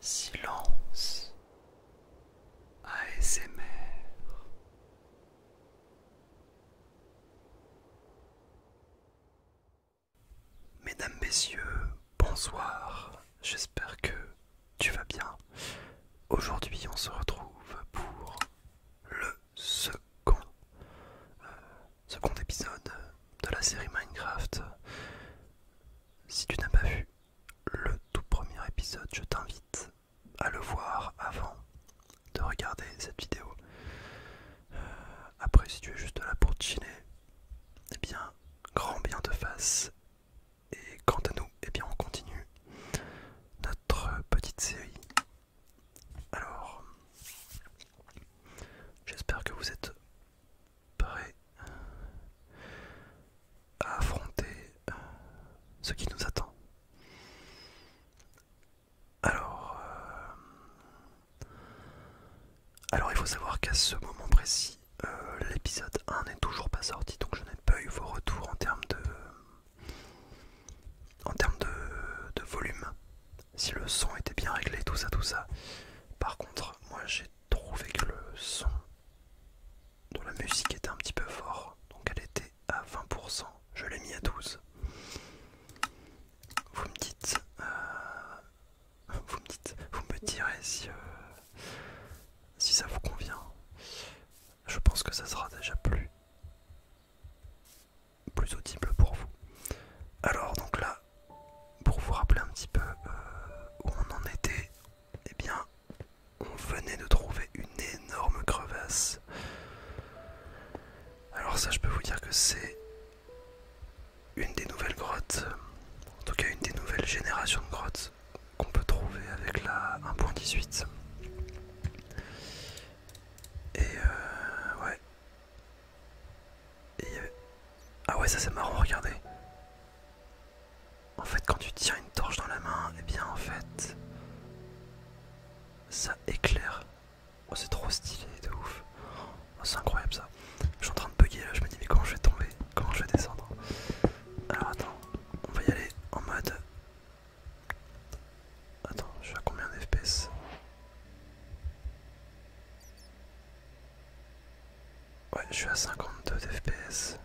Silence ASMR Mesdames, Messieurs, bonsoir, j'espère que tu vas bien. Aujourd'hui on se retrouve pour le second, euh, second épisode de la série Minecraft. Si tu n'as pas vu le tout premier épisode, je t'invite à le voir avant de regarder cette vidéo. Euh, après, si tu es juste là pour chiller, eh bien, grand bien de face Et quant à nous, et eh bien, on continue notre petite série. Alors, j'espère que vous êtes prêt à affronter ce qui nous attend. Alors, euh, alors il faut savoir qu'à ce moment précis, euh, l'épisode 1 n'est toujours pas sorti, donc je n'ai pas eu vos retours en termes de, en termes de, de volume. Si le son était bien réglé, tout ça, tout ça. Par contre, moi j'ai Trouver que le son de la musique était un petit peu fort, donc elle était à 20%, je l'ai mis à 12. Vous me dites, euh, vous me dites, vous me direz si, euh, si ça vous convient. Je pense que ça sera déjà plus, plus audible pour vous. Alors donc là, pour vous rappeler un petit peu euh, où on en était, eh bien, on venait de trouver une énorme crevasse. Alors ça, je peux vous dire que c'est une des nouvelles grottes, en tout cas une des nouvelles générations de grottes qu'on peut trouver avec la 1.18. Et euh, ouais, et euh, Ah ouais ça c'est marrant, regardez. En fait quand tu tiens une torche dans la main, et eh bien en fait ça éclaire. Oh c'est trop stylé de ouf. Oh, c'est incroyable ça. Je suis en train de bugger là, je me dis mais comment je vais tomber Comment je vais descendre Alors attends, on va y aller en mode... Attends, je suis à combien d'FPS Ouais, je suis à 52 FPS,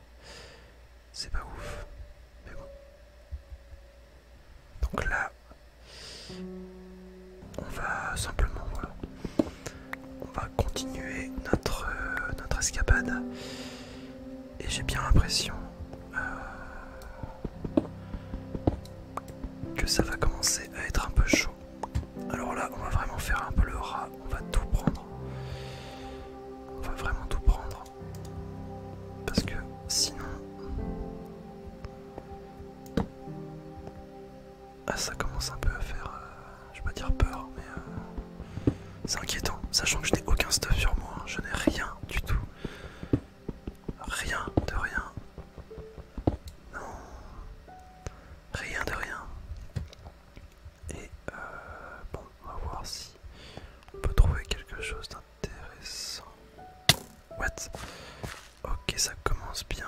C'est pas ouf. Mais bon. Donc là, on va simplement, voilà. On va continuer notre, euh, notre escapade. Et j'ai bien l'impression euh, que ça va commencer à être un peu chaud. Alors là, on va vraiment faire un peu le rat. On va tout prendre. On va vraiment tout prendre. Parce que sinon... Ah ça commence un peu à faire... Euh, je vais pas dire peur, mais... Euh, c'est inquiétant. Sachant que je n'ai aucun stuff sur moi. Hein. Je n'ai rien du tout. Rien de rien. Non. Rien de rien. Et euh, bon, on va voir si on peut trouver quelque chose d'intéressant. What Ok, ça commence bien.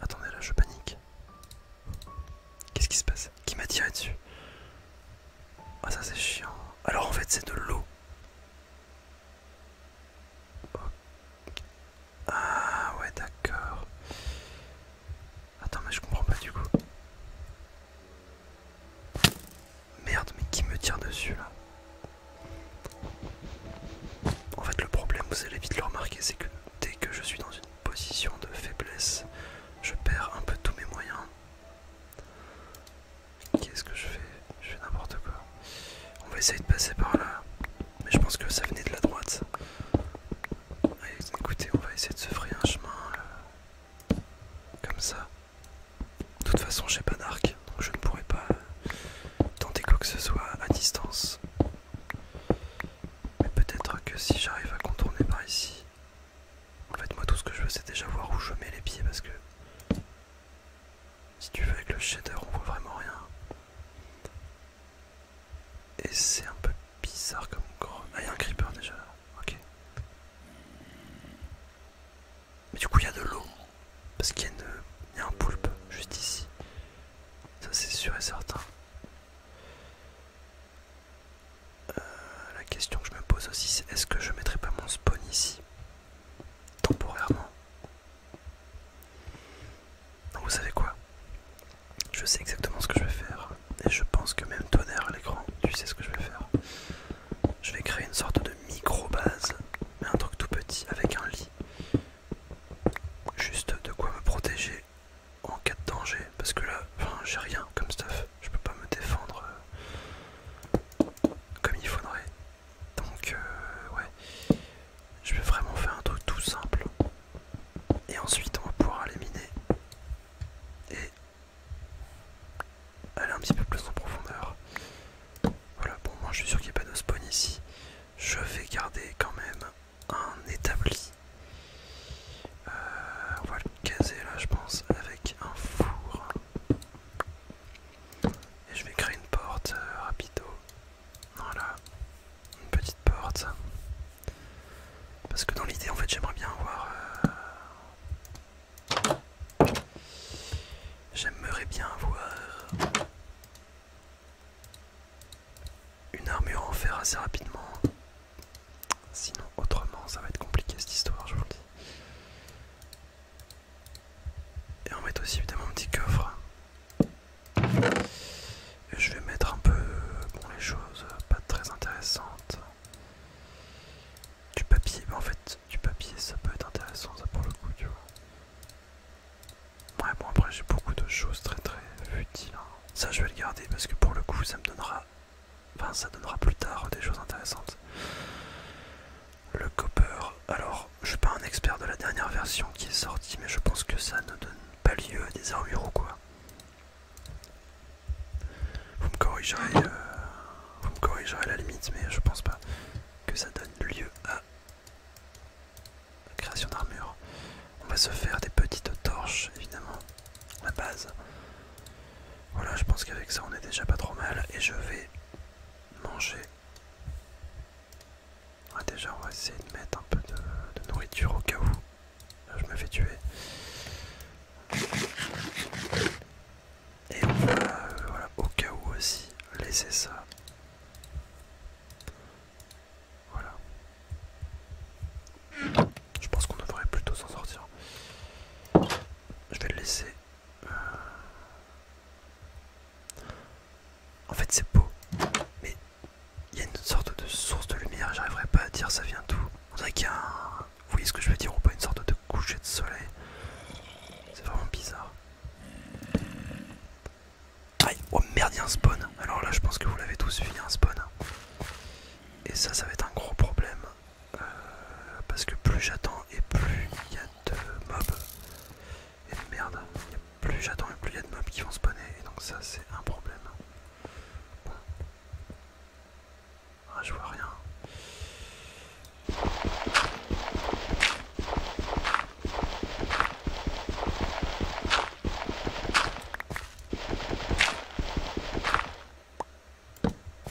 Attendez, là je panique. Qu'est-ce qui se passe Qui m'a tiré dessus Ah, ça c'est chiant. Alors en fait, c'est de l'eau. Ah ouais d'accord. Attends mais je comprends pas du coup. Merde mais qui me tire dessus là En fait le problème vous allez vite le remarquer c'est que dès que je suis dans une position de faiblesse je perds un peu tous mes moyens. Qu'est-ce que je fais Je fais n'importe quoi on va essayer de passer par là. Mais je pense que ça venait de la droite. écoutez, on va essayer de se frayer un chemin euh, comme ça. De toute façon, j'ai pas d'arc, donc je ne pourrais pas euh, tenter quoi que ce soit à distance. Mais peut-être que si j'arrive à contourner par ici. En fait, moi, tout ce que je veux, c'est déjà voir où je mets les pieds parce que. Si tu veux, avec le shader, on voit vraiment rien. Et c'est un peu bizarre comme gros. Ah, il y a un creeper déjà là. Ok. Mais du coup, il y a de l'eau. Parce qu'il y, a un poulpe juste ici. Ça, c'est sûr et certain. Euh, la question que je me pose aussi, c'est est-ce que je mettrai pas mon spawn ici Temporairement. Vous savez quoi Je sais exactement ce que je vais faire. Et je pense que même tonnerre derrière l'écran, tu sais ce que je vais faire. Je vais créer une sorte de micro-base, mais un truc tout petit, avec un lit. Juste de quoi me protéger en cas de danger. Parce que là, j'ai rien comme stuff. Je peux pas me défendre euh, comme il faudrait. Donc, euh, ouais. Je vais vraiment faire un truc tout simple. Et ensuite on va pouvoir miner et aller un petit peu plus en profondeur. Voilà, bon moi je suis sûr qu'il n'y a pas de spawn ici. Je vais garder quand même un établi. Euh, on va le caser là je pense avec un four. Et je vais créer une porte rapide. Euh, rapido. Voilà, une petite porte. Parce que dans l'idée, en fait, j'aimerais bien avoir... Euh, j'aimerais bien avoir... Une armure en fer assez rapidement. Sinon, autrement, ça va être compliqué cette histoire, je vous le dis. Et on met aussi évidemment un petit coffre. Je vais mettre un peu les choses pas très intéressantes. Du papier, en fait, du papier ça peut être intéressant, ça pour le coup, tu Ouais, bon, après j'ai beaucoup de choses très très utiles. Hein. Ça, je vais le garder parce que pour le coup, ça me donnera. Enfin, ça donnera plus tard des choses intéressantes. Le copper, alors je suis pas un expert de la dernière version qui est sortie, mais je pense que ça ne donne pas lieu à des armures ou quoi. Vous me corrigerez, euh, vous me à la limite, mais je pense pas que ça donne lieu à la création d'armure. On va se faire des petites torches, évidemment, la base. Voilà, je pense qu'avec ça on est déjà pas trop mal et je vais manger ah, déjà, on va essayer de mettre un peu de, nourriture au cas où. je me fais tuer. Et euh, voilà, au cas où aussi, laisser ça. Voilà. Je pense qu'on devrait plutôt s'en sortir. Je vais le laisser. Euh. En fait, c'est beau, mais il y a une sorte de source de lumière, j'arriverai pas à dire ça vient d'où. Vous voyez ce que je veux dire ou pas Une sorte de coucher de soleil. C'est vraiment bizarre. Oh merde, il y a un spawn Alors là, je pense que vous l'avez tous vu, un spawn. Et ça, ça va être un gros problème. Euh, parce que plus j'attends et plus il y a de mobs. Et merde, plus j'attends et plus il y a de mobs qui vont spawner, et donc ça c'est un problème. Ah, je vois rien.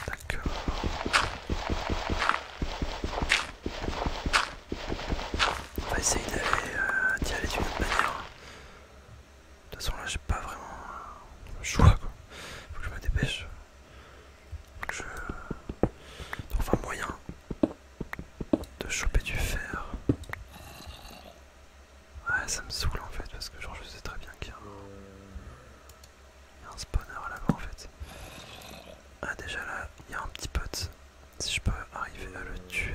D'accord. On va essayer euh, d'y aller d'une autre manière. De toute façon là j'ai pas vraiment le choix quoi. Faut que je me dépêche. Faut que je trouve un moyen de choper du fer. Ouais ça me saoule en fait parce que genre je sais très bien qu'il un, y a un spawner là-bas en fait. Ah déjà là il y a un petit pote si je peux arriver à le tuer.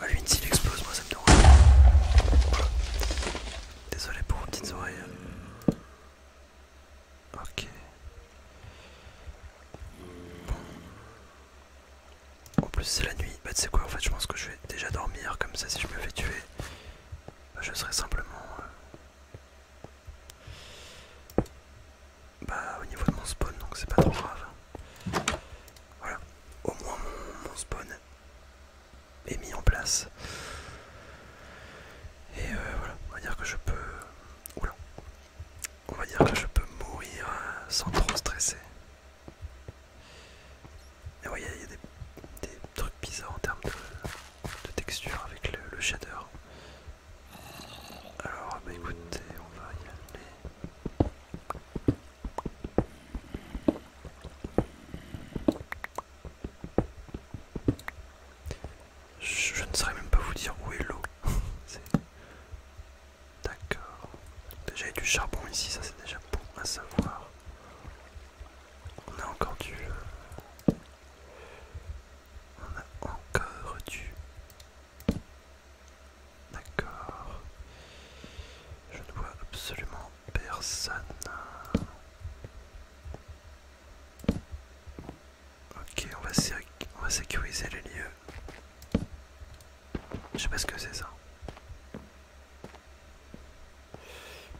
Ah, lui, s'il explose, moi ça me dérange. Désolé pour vos petites oreilles. Ok. Bon. En plus, c'est la nuit. Bah, tu sais quoi, en fait, je pense que je vais déjà dormir. Comme ça, si je me fais tuer, bah, je serai simplement. Euh, bah au niveau de mon spawn donc c'est pas trop grave. Voilà, au moins mon, spawn est mis en place. Et euh, voilà, on va dire que je peux... On va dire que je peux mourir euh, sans trop stresser. Et voyez, il y a des, trucs bizarres en termes de, texture avec le shader. Alors, bah écoutez, on va y aller. Je, ne saurais même pas vous dire où est l'eau. D'accord. Déjà il y a du charbon ici, ça c'est déjà bon à savoir. On a encore du... Euh, on a encore du... D'accord. Je ne vois absolument personne. Ok, on va, sécuriser les lieux. Je sais pas ce que c'est ça.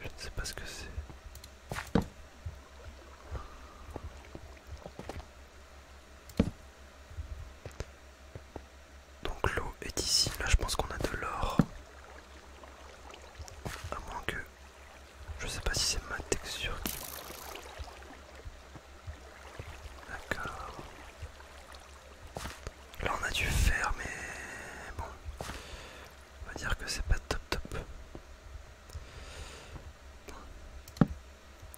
Je ne sais pas ce que c'est. Donc l'eau est ici, là je pense qu'on a de l'or. À moins que... Je sais pas si c'est ma texture qui... D'accord. Là on a du fer mais bon. On va dire que c'est pas top top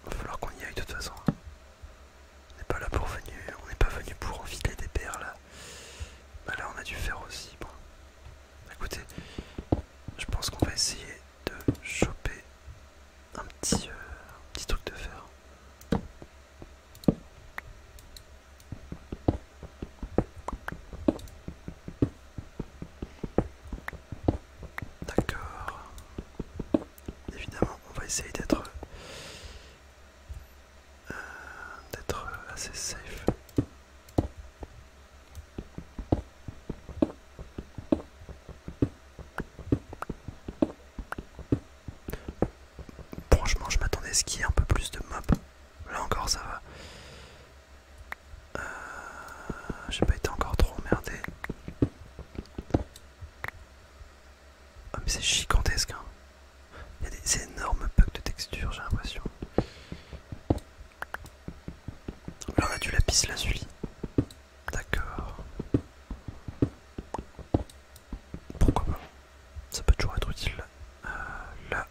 va falloir qu'on y aille de toute façon. On n'est pas là pour venir, on n'est pas venu pour enfiler des perles là. Bah là on a dû faire aussi. Bon. Écoutez, je pense qu'on va essayer de choper un petit, euh, un petit truc de fer. D'accord. Évidemment, on va essayer d'être euh, d'être assez safe. Franchement, je m'attendais à ce qu'il y ait un peu plus de mobs. Là encore, ça va. Euh, j'ai pas été encore trop emmerdé. Ah, mais c'est gigantesque hein. Il y a des énormes bugs de texture j'ai l'impression. Là on a du lapis lazuli. D'accord. Pourquoi pas Ça peut toujours être utile là. Euh,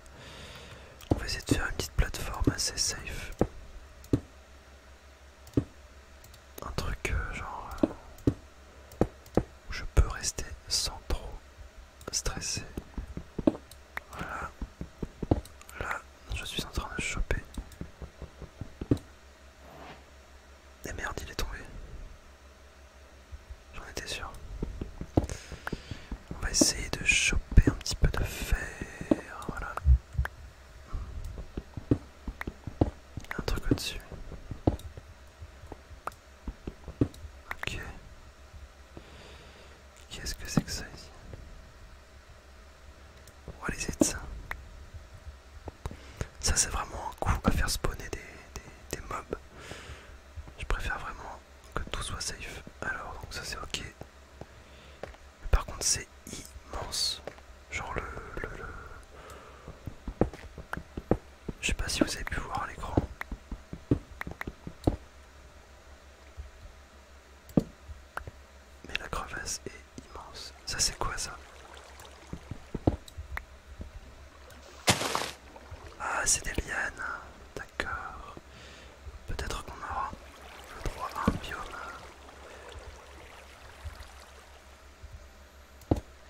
on va essayer de faire une petite plateforme assez safe un truc euh, genre euh, où je peux rester sans trop stresser. Voilà. Là, je suis en train de choper. Et eh merde, il est tombé. J'en étais sûr. On va essayer de choper un petit peu de fer. Voilà. Un truc au-dessus. Ok. Qu'est-ce que c'est que ça ici What is it ça Ça c'est vraiment un coup à faire spawner des, des mobs. Je préfère vraiment que tout soit safe. Alors donc ça c'est ok par contre, c'est immense. Genre le... le... Je sais pas si vous avez pu voir à l'écran. Mais la crevasse est immense. Ça c'est quoi ça Ah c'est des lianes. D'accord. Peut-être qu'on aura le droit à un biome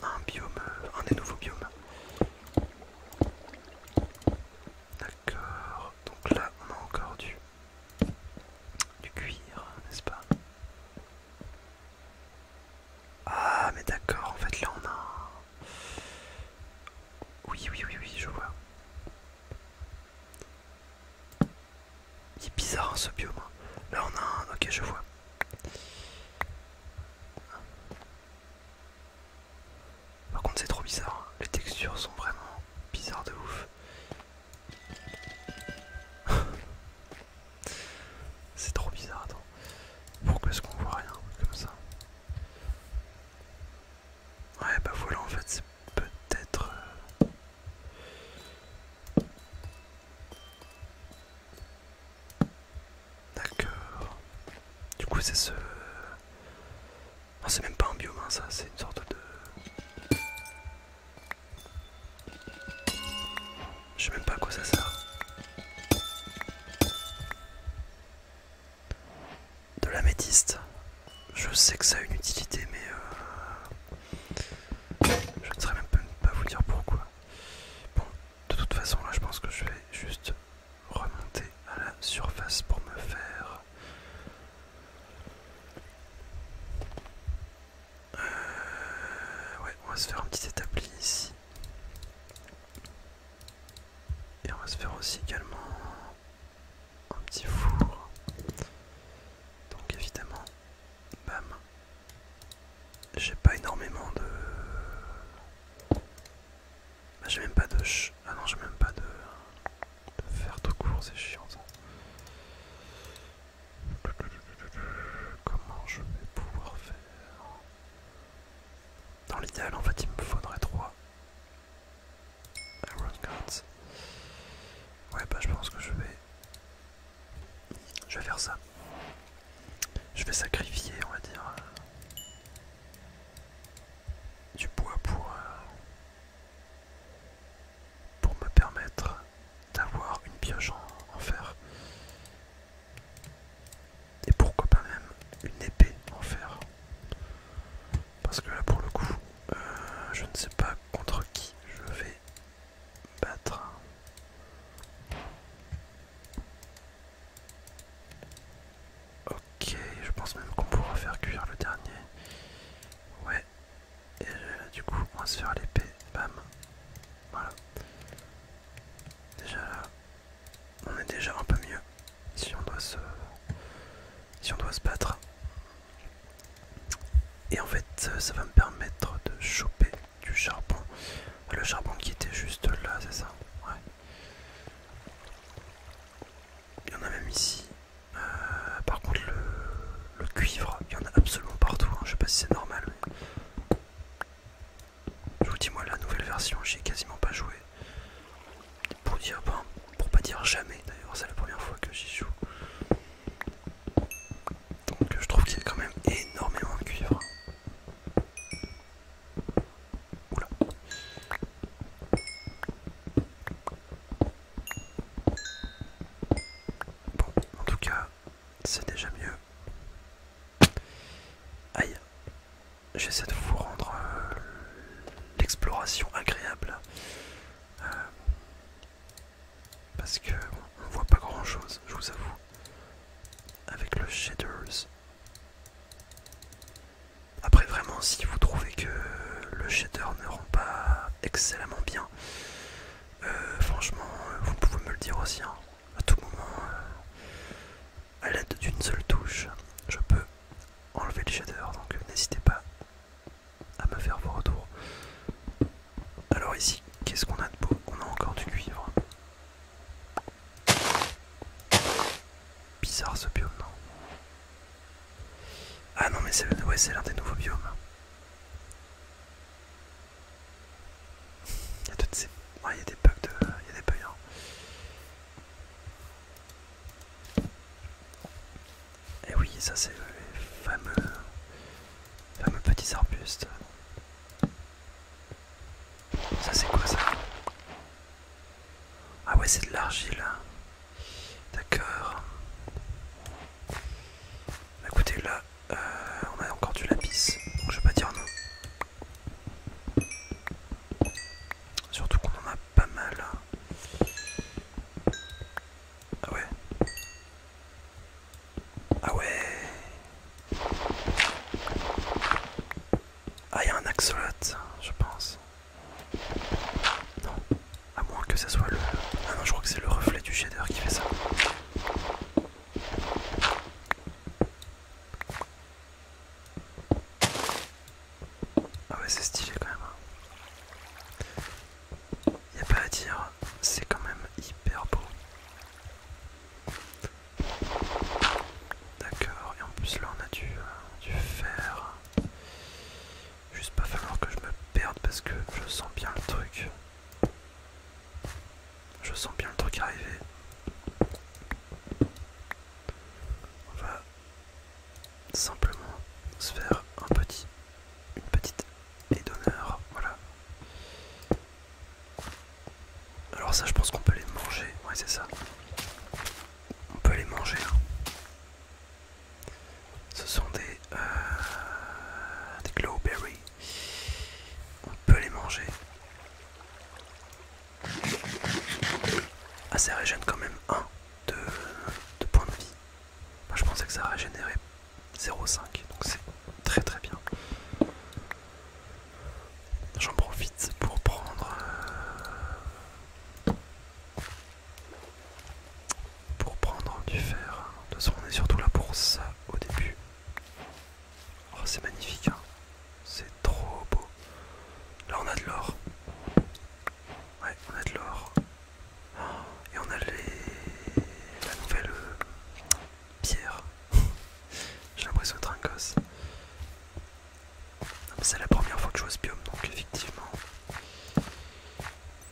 un biome, un des nouveaux biomes. D'accord, donc là on a encore du, du cuir, n'est-ce pas Ah mais d'accord, en fait là on a... Oui, oui, oui, oui, je vois. Il est bizarre hein, ce biome. Là on a un, ok je vois. Par contre c'est trop bizarre, hein. les textures sont vraiment bizarres de ouf. c'est trop bizarre, attends. Pourquoi est-ce qu'on voit rien comme ça Ouais bah voilà en fait c'est peut-être... Euh, D'accord. Du coup c'est ce... Ah, c'est même pas un biome hein, ça, c'est une sorte de... Je sais même pas à quoi ça sert. De la je sais que ça a une utilité, mais euh, je ne saurais même pas vous dire pourquoi. Bon, de toute façon, là, je pense que je vais juste remonter à la surface pour me faire euh, ouais on va se faire un petit établi ici et on va se faire aussi également un petit four. Donc évidemment, bam. J'ai pas énormément de... Bah, j'ai même pas de... Ah non, j'ai même pas de... de fer tout court, c'est chiant Comment je vais pouvoir faire Dans l'idéal, en fait, il me faudrait 3. Ouais, bah je pense que je vais. Je vais faire ça. Je vais sacrifier, on va dire, euh, du bois pour. Euh, pour me permettre d'avoir une pioche en, fer. Et pourquoi pas même une épée en fer. Parce que là pour le coup, euh, je ne sais pas contre qui je vais battre. Ok, je pense même qu'on pourra faire cuire le dernier. Ouais. Et du coup, on va se faire l'épée. Bam. Voilà. Déjà là, on est déjà un peu mieux. Si on doit si on doit se battre, et en fait, euh, ça va me permettre de choper du charbon. Le charbon qui était juste là, c'est ça Ouais. Il y en a même ici. Euh, par contre, le, cuivre, il y en a absolument partout. Hein. Je sais pas si c'est normal. Je vous dis, moi, la nouvelle version, j'y ai quasiment pas joué. Pour dire, pas, pour pas dire jamais, d'ailleurs, c'est la première fois que j'y joue. Donc je trouve qu'il y a quand même énormément de cuivre. Oula. Bon, en tout cas, c'est déjà mieux. Aïe. J'essaie de vous rendre euh, l'exploration agréable. Euh, parce que on voit pas grand chose, je vous avoue, avec le shaders. Après vraiment si vous trouvez que le shader ne rend pas excellemment bien, euh, franchement euh, vous pouvez me le dire aussi, hein. à tout moment, euh, à l'aide d'une seule touche, je peux enlever le shader, donc n'hésitez pas à me faire vos retours. Alors ici, qu'est-ce qu'on a de beau On a encore du cuivre. Bizarre ce biome, Ah non, mais c'est l'un des nouveaux biomes. Il y a toutes ces... des bugs de... Il y a des bugs, hein. Et eh oui, ça c'est les fameux, fameux petits arbustes. Ça c'est quoi ça Ah ouais, c'est de l'argile. Hein. D'accord. Bah, écoutez, là, euh, on a encore du lapis, donc je vais pas dire non. Surtout qu'on en a pas mal. Hein. Ah ouais. Ah ouais. Ah, il y a un axolote, je pense. Non, à moins que ce soit le. Ah non, je crois que c'est le reflet du shader qui fait ça. Ah ouais, c'est stylé quand même. Hein. Il n'y a pas à dire, c'est quand même hyper beau. D'accord, et en plus là on a du, euh, du fer. Juste pas falloir que je me perde parce que je sens bien le truc. Je sens bien le truc arriver. On va simplement se faire un petit une petite édonneur d'honneur, voilà. Alors ça je pense qu'on peut les manger, ouais c'est ça. On peut les manger. Hein. Ce sont des, euh, des On peut les manger. Ah ça régène quand même un de, points de vie. je pensais que ça régénérait 0,5 donc c'est très très bien. J'en profite pour prendre euh, pour prendre du fer. Hein. De toute façon on est surtout là pour ça au début. Oh, c'est magnifique hein. C'est trop beau. Là on a de l'or. Ouais, on a de l'or. Et on a les... la nouvelle euh, pierre. J'ai l'impression d'être un gosse. C'est la première fois que je vois ce biome, donc effectivement.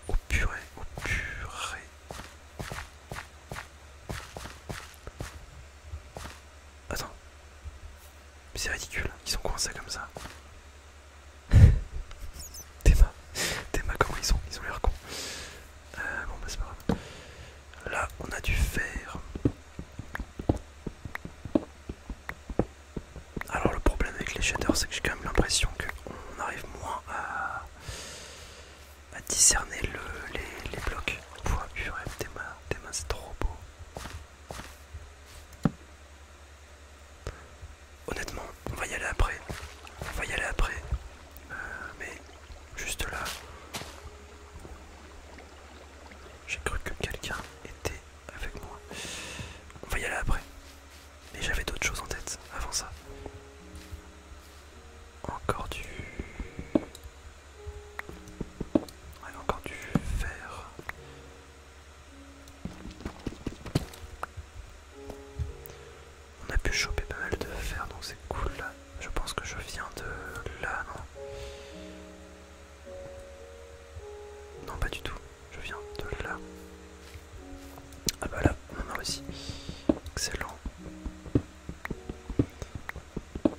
Au purée, au purée. Attends. C'est ridicule, hein. ils sont coincés comme ça. Tema, comment ils sont Ils ont l'air cons. Euh, bon bah, c'est pas Là on a du fer. Alors le problème avec les shaders c'est que j'ai quand même l'impression qu'on arrive moins à, discerner les, blocs. Pouah purée, Théma, Tema c'est trop beau honnêtement, on va y aller après. On va y aller après. Euh, mais juste là, j'ai cru que quelqu'un était avec moi. On va y aller après. Mais j'avais d'autres choses en tête avant ça. Encore du... encore du fer. On a pu choper pas mal de fer, donc c'est cool Je pense que je viens de là, non pas du tout. Je viens de là. Ah bah là, on a aussi Excellent.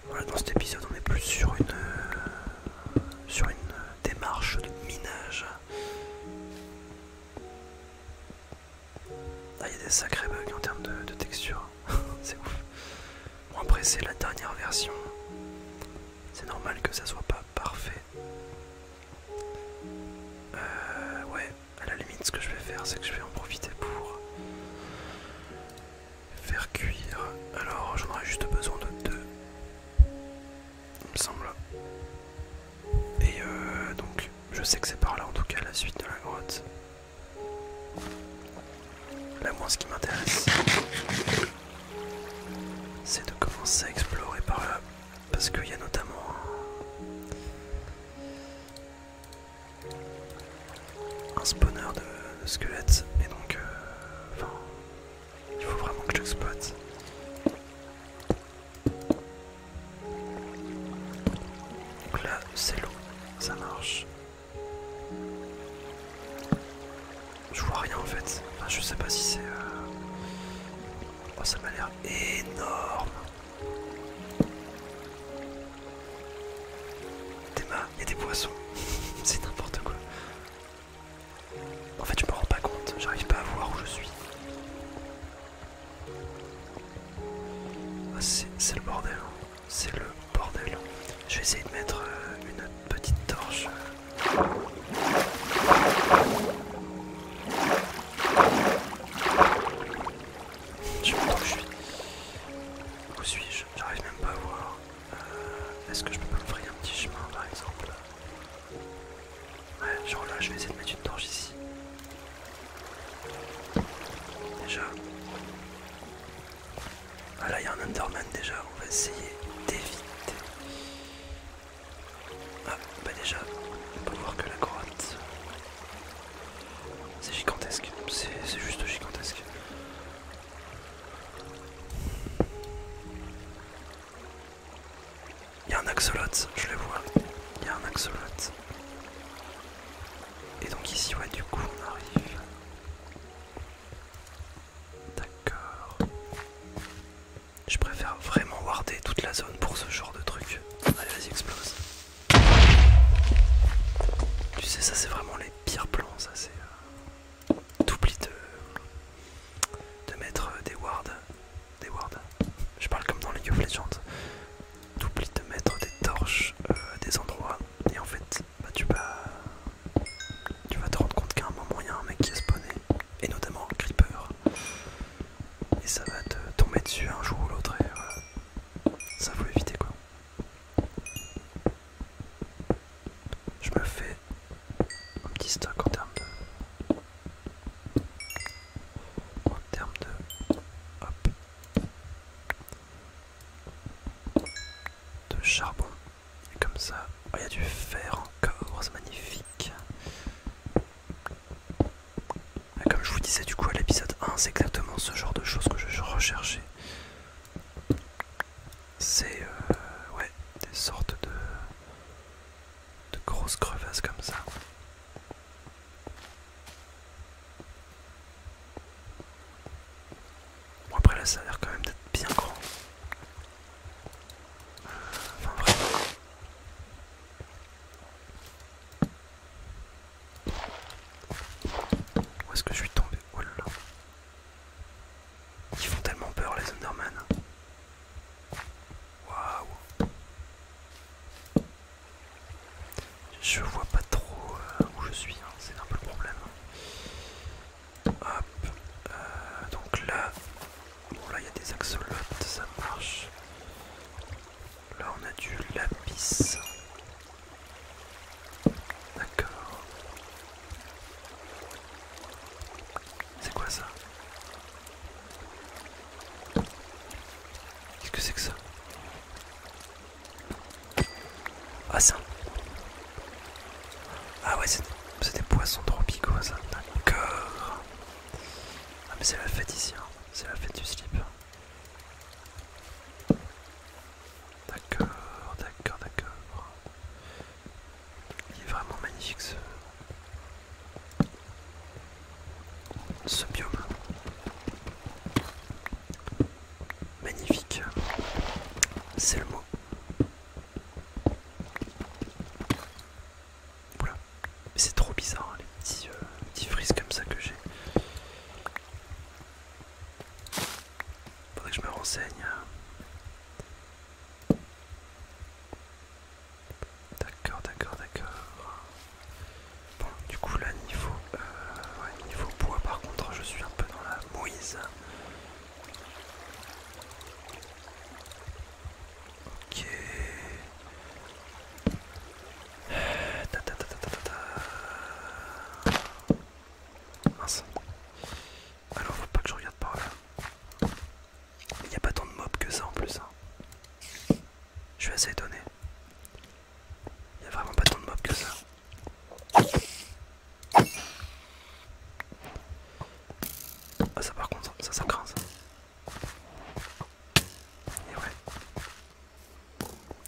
Voilà, dans cet épisode, on est plus sur une, euh, sur une démarche de minage. Ah, il y a des sacrés bugs en termes de, texture. c'est ouf. Bon, après, c'est la dernière version. C'est normal que ça soit pas parfait. Euh, ouais, à la limite, ce que je vais faire, c'est que je vais en profiter pour faire cuire. Alors, j'en aurais juste besoin de deux. Il me semble. Et euh, donc, je sais que c'est par là en tout cas la suite de la grotte. Là, moi, ce qui m'intéresse, c'est de commencer à explorer par là. Parce qu'il y a notamment. Un spawner de, squelettes, et donc, euh, il faut vraiment que je j'exploite. Donc là, c'est l'eau, ça marche. Je vois rien en fait. Enfin, je sais pas si c'est. Euh, oh, ça m'a l'air énorme. Des mâts, et des poissons. c'est n'importe quoi. En fait, je me rends pas compte. J'arrive pas à voir où je suis. Ah, c'est le bordel, hein. c'est le bordel. Je vais essayer de mettre euh, une petite torche. Je sais pas où je suis. Où suis-je J'arrive même pas à voir. Euh, est-ce que je peux me un petit chemin par exemple Ouais, genre là, je vais essayer de mettre une torche ici. Déjà. Ah là, il y a un Underman déjà, on va essayer d'éviter. Ah, bah déjà, on peut voir que la grotte. C'est gigantesque, c'est juste gigantesque. Il y a un axolot, je le vois. Il y a un axolot. Et donc ici, ouais, du coup, on arrive. D'accord. Je préfère vraiment warder toute la zone pour ce genre de truc. Allez, vas-y, explose. Tu sais, ça c'est vraiment les pires plans, ça c'est... Euh, pli de, de mettre euh, des wards des wards. Je parle comme dans League of Legends. T'oublies de mettre des torches euh, à des endroits et en fait bah, tu, vas, tu vas te rendre compte qu'à un moment il y a un mec qui est spawné et notamment un creeper et ça va te tomber dessus un jour ou l'autre et ça faut éviter quoi. Je me fais un petit stock en termes de en termes de, charbon. comme ça, oh, il y a du fer encore, c'est magnifique. Ah, comme je vous disais du coup à l'épisode 1, c'est exactement ce genre de choses que je recherchais. C'est euh, ouais, des sortes de, de grosses crevasses comme ça. Bon après là ça a l'air quand même d'être bien grand. Où est-ce que je suis tombé Oh là là. Ils font tellement peur les Underman. Waouh. Je vois pas trop euh, où je suis, hein, c'est un peu le problème. Hop, euh, donc là, là il y a des axolotes, ça marche. Là on a du lapis. D'accord. C'est quoi ça Qu'est-ce que c'est que ça Ah ça Ah ouais c'est des poissons tropicaux ça D'accord Ah mais c'est la fête ici hein. C'est la fête du slip D'accord d'accord d'accord Il est vraiment magnifique ce ce biome magnifique c'est le mot c'est trop bizarre hein, les petits euh, frises comme ça que j'ai faudrait que je me renseigne hein. D'accord, d'accord, d'accord. Bon, du coup là niveau, euh, niveau bois par contre je suis un peu dans la mouise. Ok. Mince. Alors faut pas que je regarde par là. Il n'y a pas tant de mobs que ça en plus. Hein. Je suis assez étonné. Il y a vraiment pas tant de mobs que ça. Ah ça par contre, ça ça craint ça. Et ouais.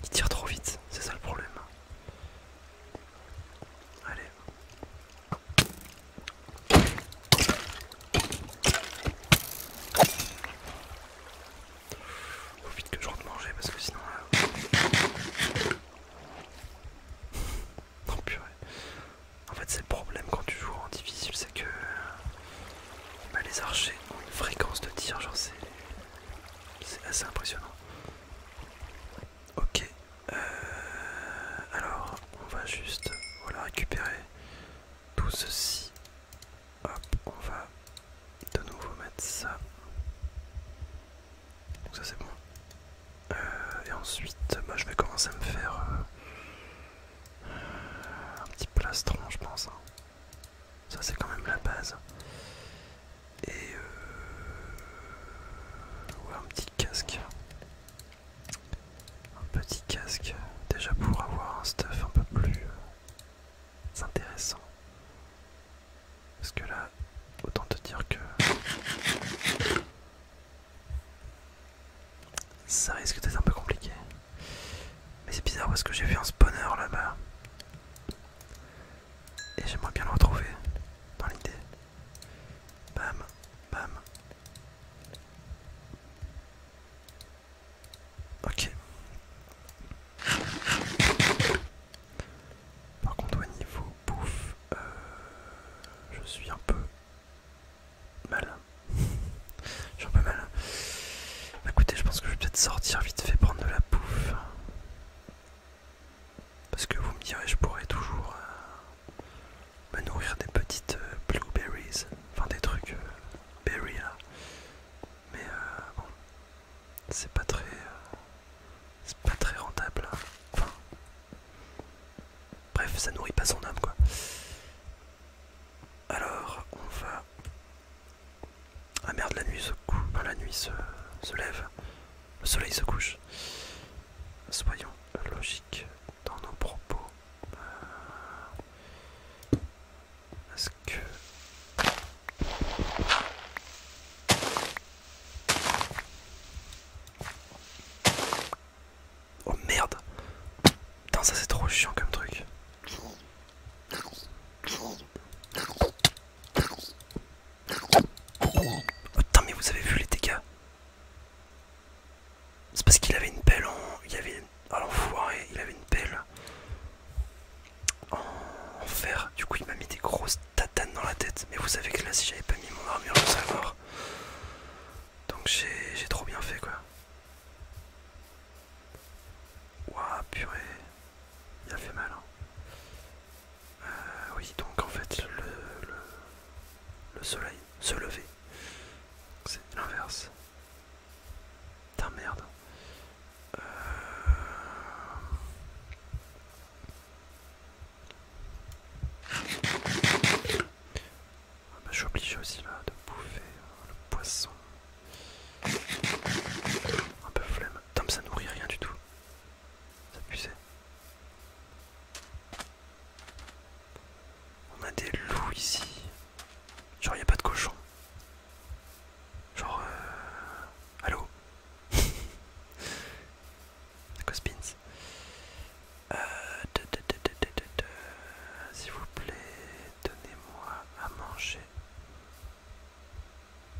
Il tire trop vite, c'est ça le problème. Allez. Faut vite que je rentre manger parce que sinon euh, oh, En fait c'est le problème quand tu joues en difficile c'est que bah, les archers ont une fréquence de tir genre c'est c'est assez impressionnant. Ok, euh, alors on va juste voilà récupérer tout ceci. Hop, on va de nouveau mettre ça. Donc ça c'est bon. Euh, et ensuite, moi bah, je vais commencer à me faire euh, un petit plastron, je pense. Hein. Ça c'est quand même la base. Et euh, un petit casque. Un petit casque, déjà pour avoir un stuff un peu plus c'est intéressant. Parce que là, autant te dire que... Ça risque d'être un peu compliqué. Mais c'est bizarre parce que j'ai vu un spawner là-bas. Et j'aimerais bien le retrouver dans l'idée. Bam, bam. Ok. Par contre au niveau pouf, je suis un peu malin. je suis un peu mal. Bah, écoutez, je pense que je vais peut-être sortir vite fait prendre de la bouffe. Parce que vous me direz, je pourrais toujours euh, me nourrir des petites euh, blueberries, enfin des trucs euh, berries là mais euh, bon c'est pas très euh, c'est pas très rentable hein. bref ça nourrit pas son âme quoi alors on va ah merde la nuit se la nuit se, lève le soleil se couche soyons logiques dans nos propos euh, est-ce que... Oh merde Putain ça c'est trop chiant comme truc. putain mais vous avez vu les dégâts C'est parce qu'il avait une pelle en... Il y avait alors oh, foiré, il avait une pelle en... fer. Du coup, il m'a mis des grosses tatanes dans la tête. Mais vous savez que là, si j'avais pas mis mon armure, de savoir mort. Donc j'ai trop bien fait quoi. Ouah purée, il a fait mal. Hein. Euh, oui donc en fait le, le, le soleil se lever, c'est l'inverse. Putain merde. Euh. Ah bah, je suis obligé aussi là de bouffer euh, le poisson. Un peu flemme. Putain, ça nourrit rien du tout. Ça puissait. On a des loups ici. Genre, y a pas de cochon. Genre, euh... Allô Cospins. Euh, S'il vous plaît, donnez-moi à manger.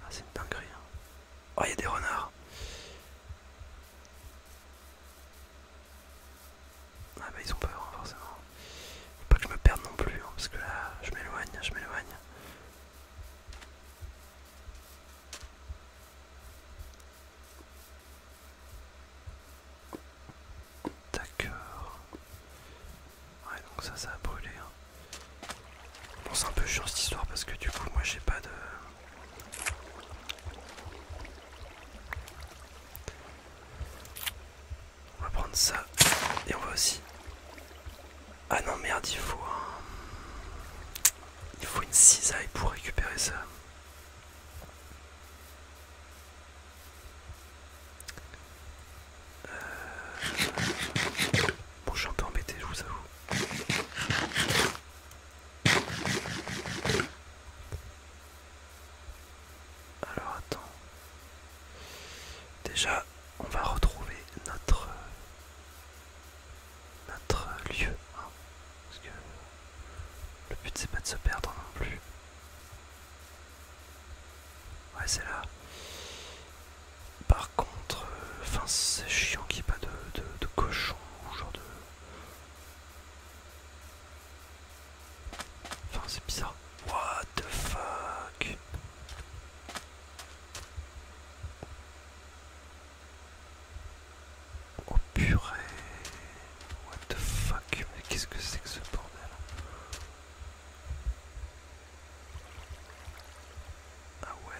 Ah, c'est une dinguerie. Hein. Oh, y a des renards. Ah bah ils ont peur, forcément. Pas que je me perde non plus, hein, parce que là, je m'éloigne, je m'éloigne. D'accord. Ouais, donc ça, ça a brûlé. Hein. Bon, c'est un peu chiant cette histoire parce que du coup, moi, j'ai pas de. On va prendre ça et on va aussi. Ah non merde il faut un... Il faut une cisaille pour récupérer ça. Euh. Bon je suis un peu embêté je vous avoue. Alors attends. Déjà, on va retrouver notre notre lieu. Hein. parce que le but c'est pas de se perdre non plus. Ouais c'est là. Par contre, euh, enfin c'est chiant qu'il n'y ait pas de, de cochon ou genre de... Enfin, c'est bizarre. What the fuck Oh purée What the fuck Mais qu'est-ce que c'est que ce bordel Ah ouais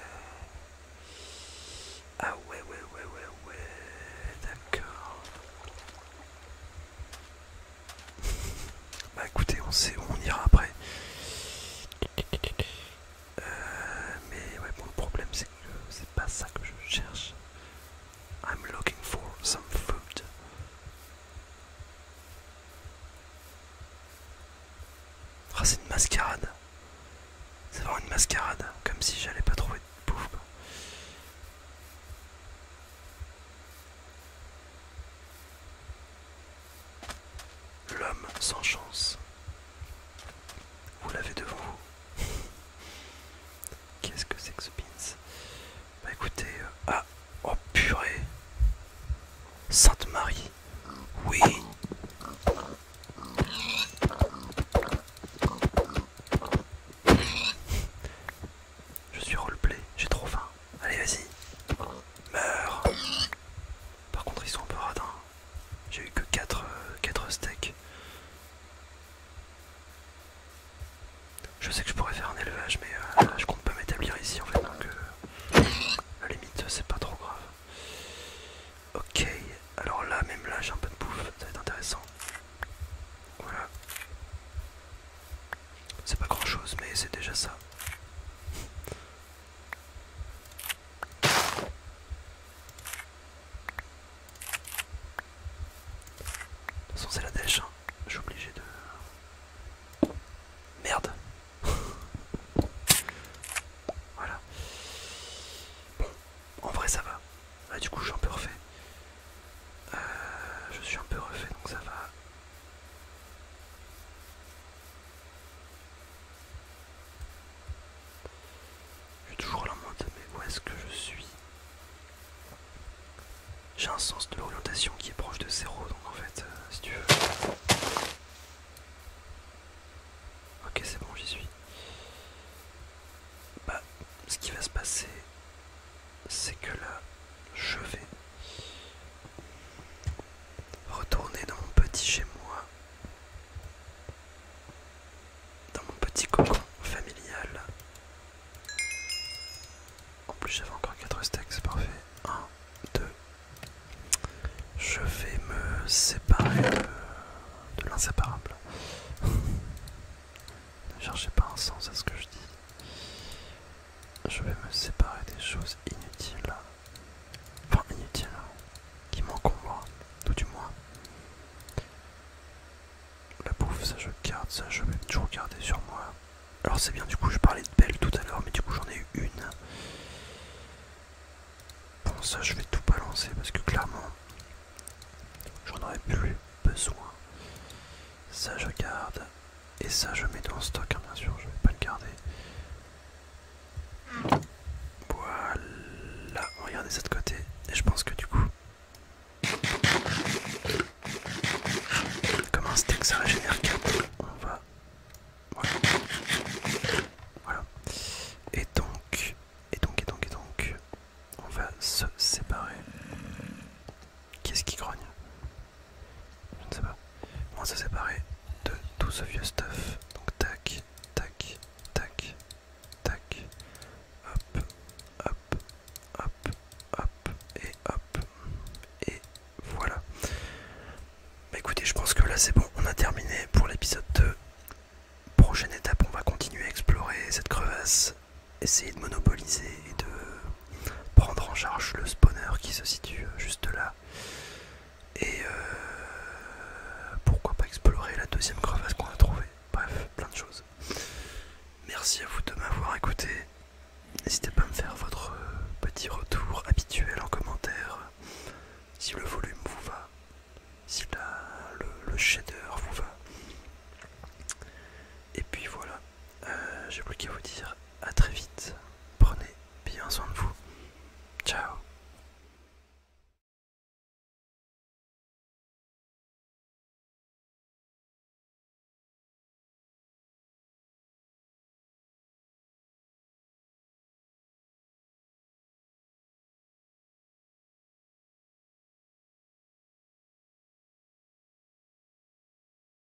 Ah ouais ouais ouais ouais ouais D'accord Bah écoutez, on sait où on ira après. Euh, mais ouais, bon, le problème c'est que c'est pas ça que je cherche. I'm looking for some food. Ah, c'est une mascarade. C'est vraiment une mascarade, comme si j'allais pas trouver de bouffe. L'homme sans chance. Vous l'avez devant vous. Qu'est-ce que c'est que ce pince Bah écoutez, euh, ah, oh purée. Sainte Marie. Oui. Je suis roleplay, j'ai trop faim. Allez, vas-y. Meurs. Par contre, ils sont un peu radins. J'ai eu que 4, euh, quatre steaks. Je sais que je pourrais faire un élevage, mais euh, je compte pas m'établir ici en fait, donc euh, à la limite, c'est pas trop grave. Ok, alors là, même là, j'ai un peu de bouffe, ça va être intéressant. Voilà. C'est pas grand chose, mais c'est déjà ça. De toute façon c'est la dèche, hein. je suis obligé de... Merde Voilà. Bon, en vrai ça va. Ah, du coup je suis un peu refait. Euh, je suis un peu refait donc ça va. J'ai toujours la mode mais où est-ce que je suis J'ai un sens de l'orientation qui est proche de zéro, donc en fait, euh, si tu veux. Ok, c'est bon, j'y suis. Bah, ce qui va se passer, c'est que là, je vais retourner dans mon petit chez moi, dans mon petit cocon familial. En plus, j'avais encore 4 stacks, c'est parfait. 1, 2. Je vais me séparer de, de l'inséparable. ne cherchez pas un sens à ce que je dis je vais me séparer des choses inutiles, enfin inutiles, qui m'encombrent, tout du moins. La bouffe, ça je garde, ça je vais toujours garder sur moi. Alors c'est bien, du coup je parlais de belle tout à l'heure, mais du coup j'en ai eu une. Bon, ça je vais tout balancer parce que clairement, j'en aurais plus besoin. Ça je garde, et ça, je mets dans le stock, hein, bien sûr, je vais pas le garder. Voilà, regardez ça de côté. Et je pense que du coup, comme un steak, ça régénère 4. On va. Voilà. Et donc, et donc, et donc, et donc, on va se séparer. Qu'est-ce qui grogne je ne sais pas. On se séparer de tout ce vieux stuff. Donc tac, tac, tac, tac. Hop, hop, hop, hop, et hop. Et voilà. Bah écoutez, je pense que là c'est bon, on a terminé pour l'épisode 2. Prochaine étape, on va continuer à explorer cette crevasse, essayer de monopoliser et de prendre en charge le spawner qui se situe juste là. Et euh, pourquoi pas explorer la deuxième crevasse qu'on a trouvée. Bref, plein de choses. Merci à vous de m'avoir écouté. N'hésitez pas à me faire votre euh, petit retour habituel en commentaire. Si le volume vous va, si le shader vous va. Et puis voilà. Euh, j'ai plus qu'à vous dire à très vite. Prenez bien soin de vous. Ciao